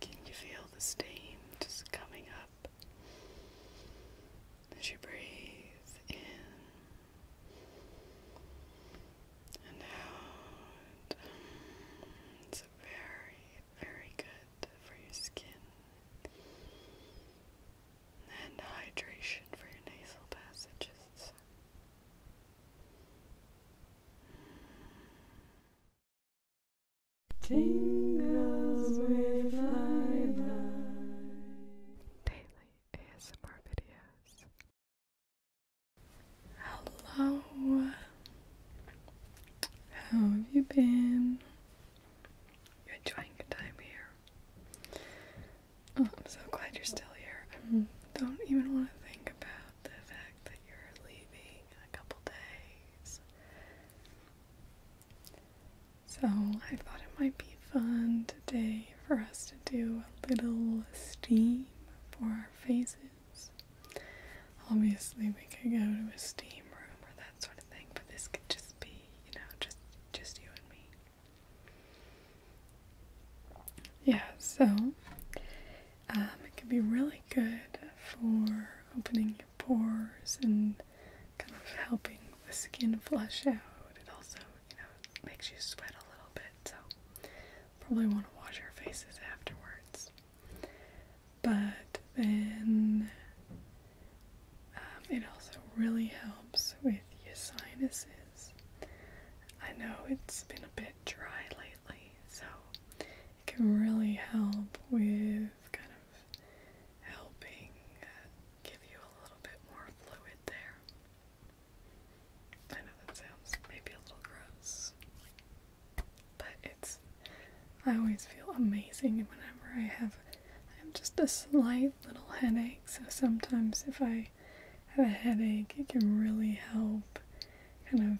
Can you feel the steam just coming up as you breathe in and out? It's very, very good for your skin and hydration for your nasal passages. Tingles with Lilac. Daily ASMR videos. Hello. How have you been? You're enjoying your time here. Oh, I'm so glad you're still here. I don't even want to think about the fact that you're leaving in a couple days. So I thought it might be fun today for us to do a little steam for our faces. Obviously we could go to a steam room or that sort of thing, but this could just be, you know, just just you and me. Yeah, so um, it can be really good for opening your pores and kind of helping the skin flush out. It also, you know, makes you sweat a little bit, so probably want to wash your faces afterwards. But then um, it also really helps with your sinuses. I know it's been a bit dry lately, so it can really help with kind of helping uh, give you a little bit more fluid there. I know that sounds maybe a little gross, but it's. I always feel amazing whenever I have. I have just a slight little headache, so sometimes if I have a headache, it can really help kind of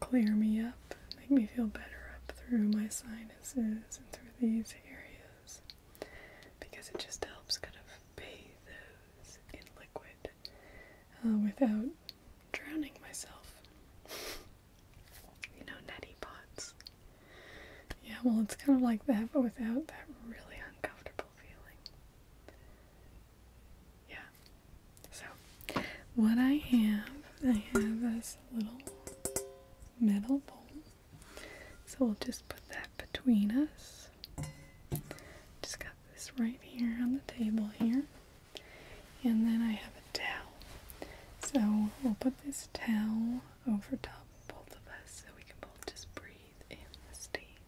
clear me up, make me feel better up through my sinuses and through these areas because it just helps kind of bathe those in liquid uh, without drowning myself. you know, neti pots. Yeah, well, it's kind of like that, but without that really uncomfortable feeling yeah. So, what I have, I have this little metal bowl. So we'll just put that between us. Just got this right here on the table here. And then I have a towel. So we'll put this towel over top both of us so we can both just breathe in the steam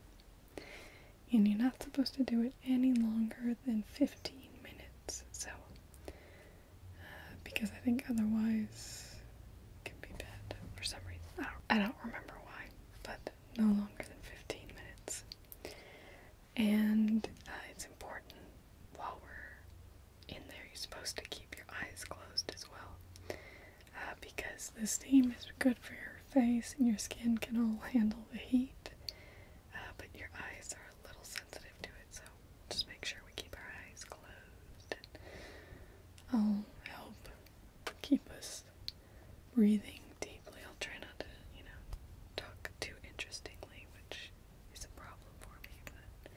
and you're not supposed to do it any longer than 15 minutes. So, uh, because I think otherwise can be bad for some reason. I don't, remember why, but no longer than 15 minutes. And uh, it's important while we're in there, you're supposed to keep your eyes closed as well. Uh, because the steam is good for your face and your skin can all handle the heat feet, uh, but your eyes are a little sensitive to it, so just make sure we keep our eyes closed. I'll help keep us breathing deeply. I'll try not to, you know, talk too interestingly, which is a problem for me, but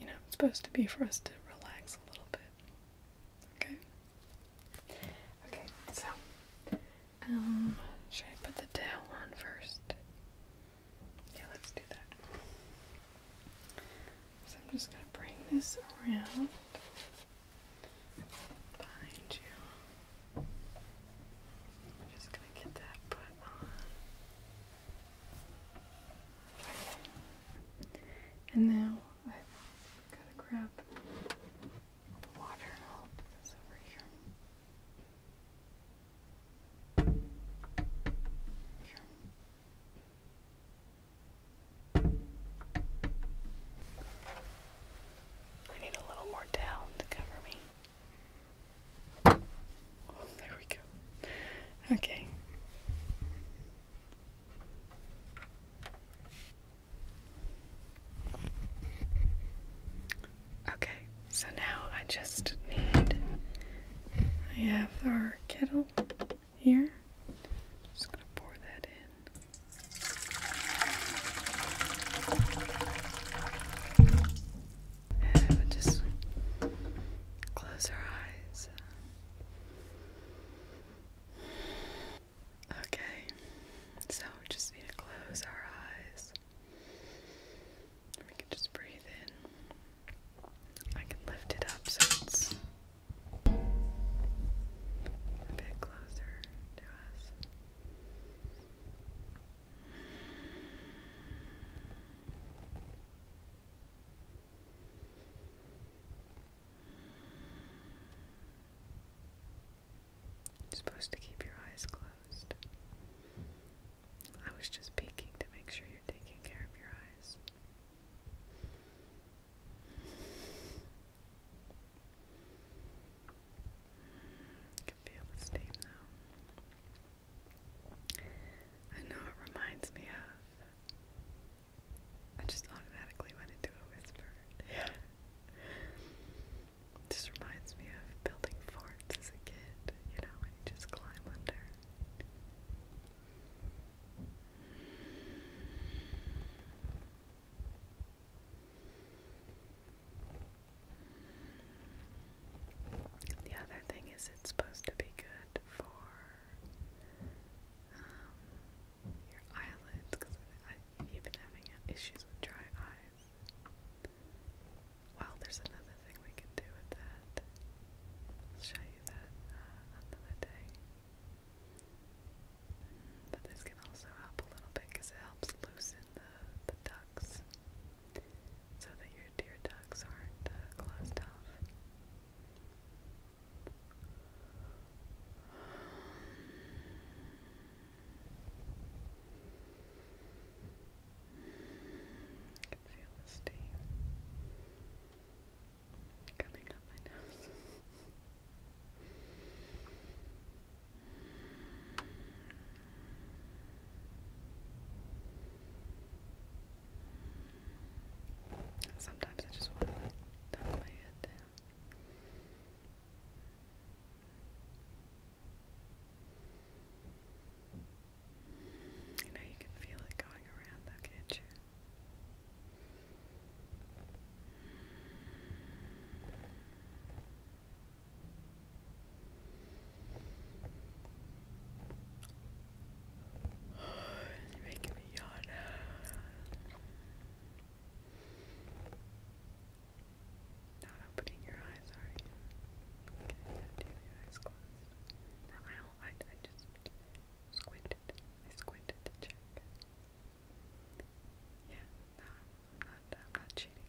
you know, it's supposed to be for us to relax a little bit. Okay? Okay, so um, should I put the towel on first? Yeah, let's do that. So I'm just going to bring this around behind you. I'm just going to get that put on. And now I've got to grab I need a little more down to cover me. Oh, there we go. Okay. Okay, so now I just need. I have our kettle here. Just gonna pour that in. And just close our eyes. Okay, so we just need to close our eyes. We can just breathe in. I can lift it up so it's a bit closer to us. You're supposed to keep your eyes closed. I was just peeking to make sure you're taking care of your eyes. can feel the steam though. I know it reminds me of. I just automatically went into a whisper. Yeah. Just reminds me of building forts as a kid, you know, and just climb under. The other thing is, it's supposed to be good for um, your eyelids because You've been having issues with dry eyes. Well, there's another thing we can do with that. show you that uh, another day. Mm, but this can also help a little bit because it helps loosen the, the ducts so that your tear ducts aren't uh, closed off. I can feel the steam coming up my nose. Sometimes I just want to tuck my head you you can feel it going around, though, can You're making me yawn. Not opening your eyes, are you? Okay, do your eyes closed. Now I I, just squinted. I squinted to check. Yeah, no, I'm not, I'm not cheating.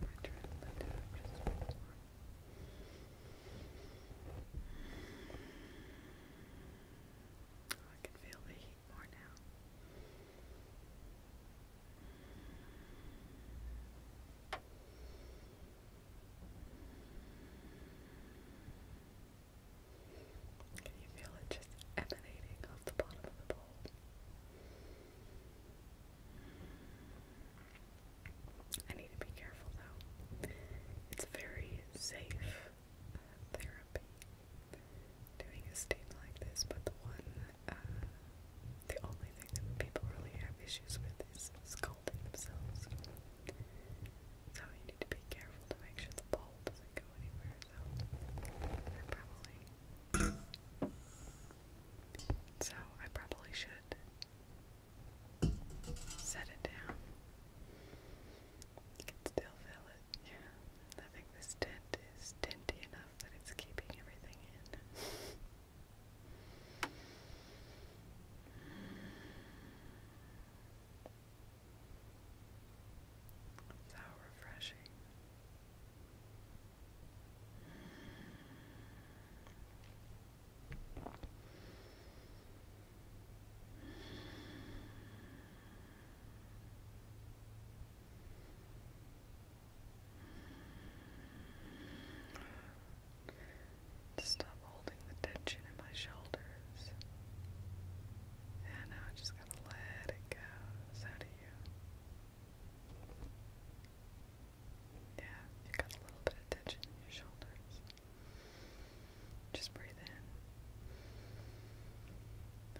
I tried to let it out just once more. Oh, I can feel the heat more now. Just can you feel it just emanating off the bottom of the bowl? I need to be careful though. It's very safe uh, therapy doing a steam like this, but the one, uh, the only thing people really have issues with is scalding themselves. So you need to be careful to make sure the bowl doesn't go anywhere so I probably so I probably should set it down. I can still feel it. Yeah, I think this tint is tinty enough that it's keeping everything in. So refreshing. stop holding the tension in my shoulders and now I just gotta let it go. So do you. Yeah, you got a little bit of tension in your shoulders. Just breathe in.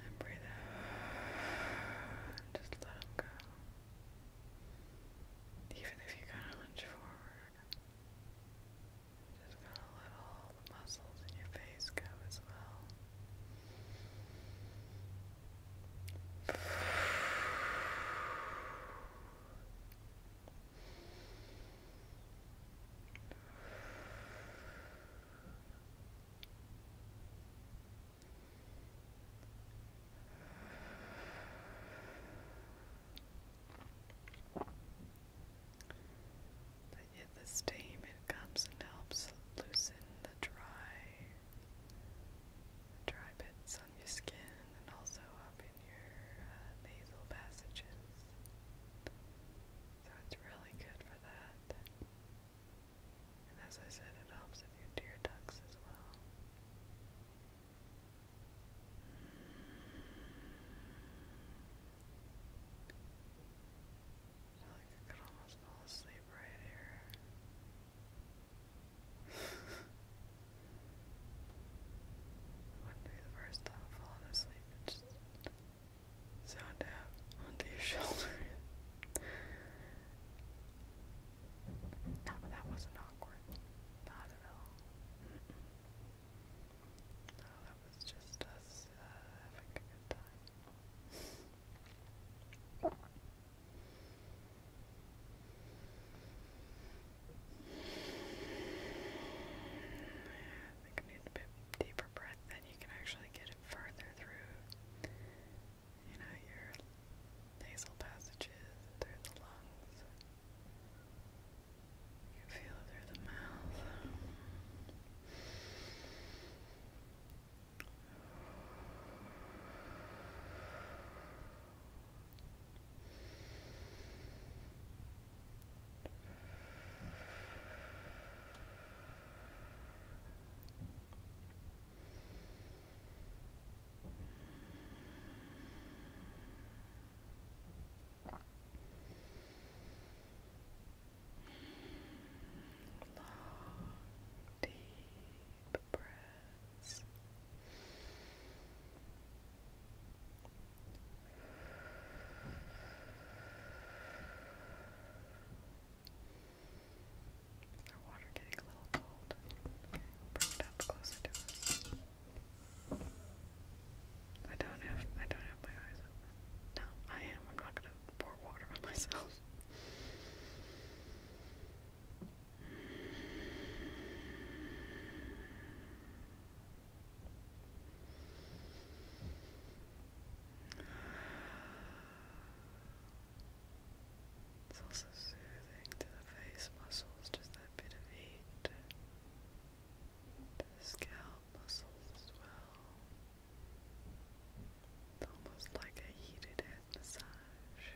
And breathe out. Just let them go. Even if you kind of lunge forward, just gonna let all the muscles in your face go as well. Good. But yet the steam it comes and helps loosen the dry dry bits on your skin and also up in your uh, nasal passages. So it's really good for that. And as I said, it helps with your tear ducts as well. Like I could almost fall asleep right here. Wouldn't the first time I've asleep and just zoned out onto your shoulder. no, that wasn't awkward. Not at all. Mm no, I think I need bit deeper breath, then you can actually get it further through, you know, your nasal passages through the lungs. You feel it through the mouth. Long, deep breaths. Our water getting a little cold. Okay, bring it up closer to us. I don't have I don't have my eyes No, I am. I'm not gonna pour water on myself. It's also soothing to the face muscles, just that bit of heat the scalp muscles as well. It's almost like a heated head massage.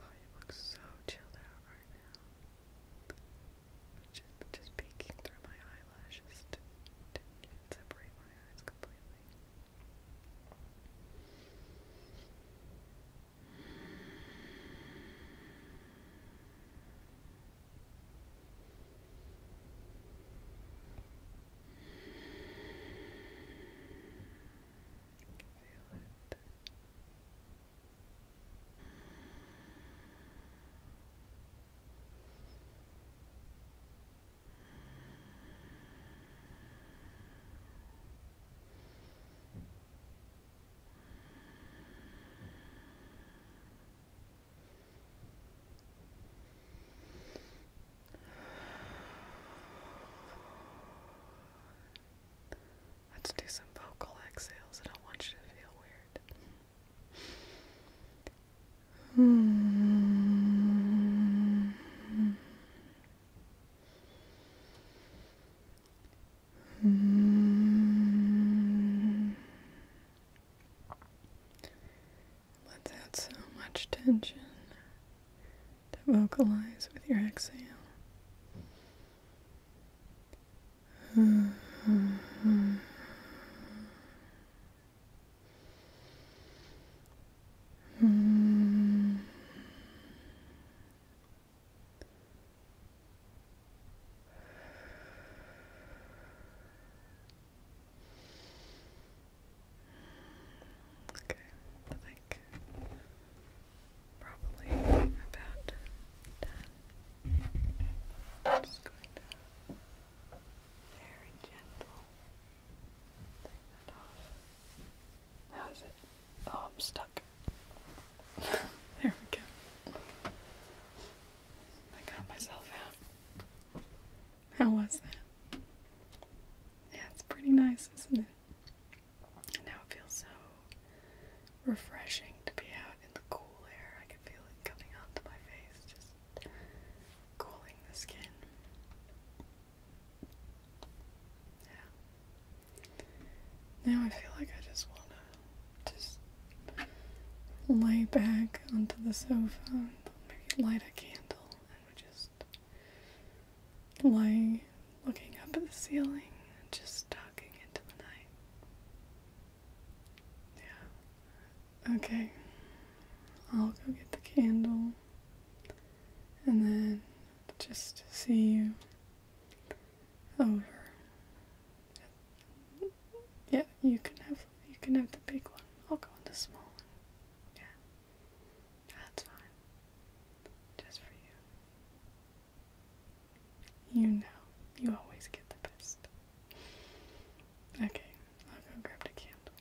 Oh, you look so chilled out right now. Just, just peeking through my eyelashes to, to separate my eyes completely. Feel it. Feel Let's do some vocal exhales. I don't want you to feel weird. Hmm. Mm. Let so much tension to vocalize with your exhale. Hmm. Okay, I think probably about done. just going to very gentle How's it? Oh, I'm stuck. there we go. I got myself out. How was that? Yeah, it's pretty nice, isn't it? now it feels so refreshing to be out in the cool air. I can feel it coming onto my face, just cooling the skin. Yeah. Now I feel like I just want to just lay back onto the sofa and maybe light a candle and just lay looking up at the ceiling and just talking into the night. Yeah. Okay. I'll go get the candle and then just see you over. Yeah, you can have you can have the big one. I'll go with the small one. Yeah. That's fine. Just for you. You know. You always get the best. Okay, I'll go grab the candle.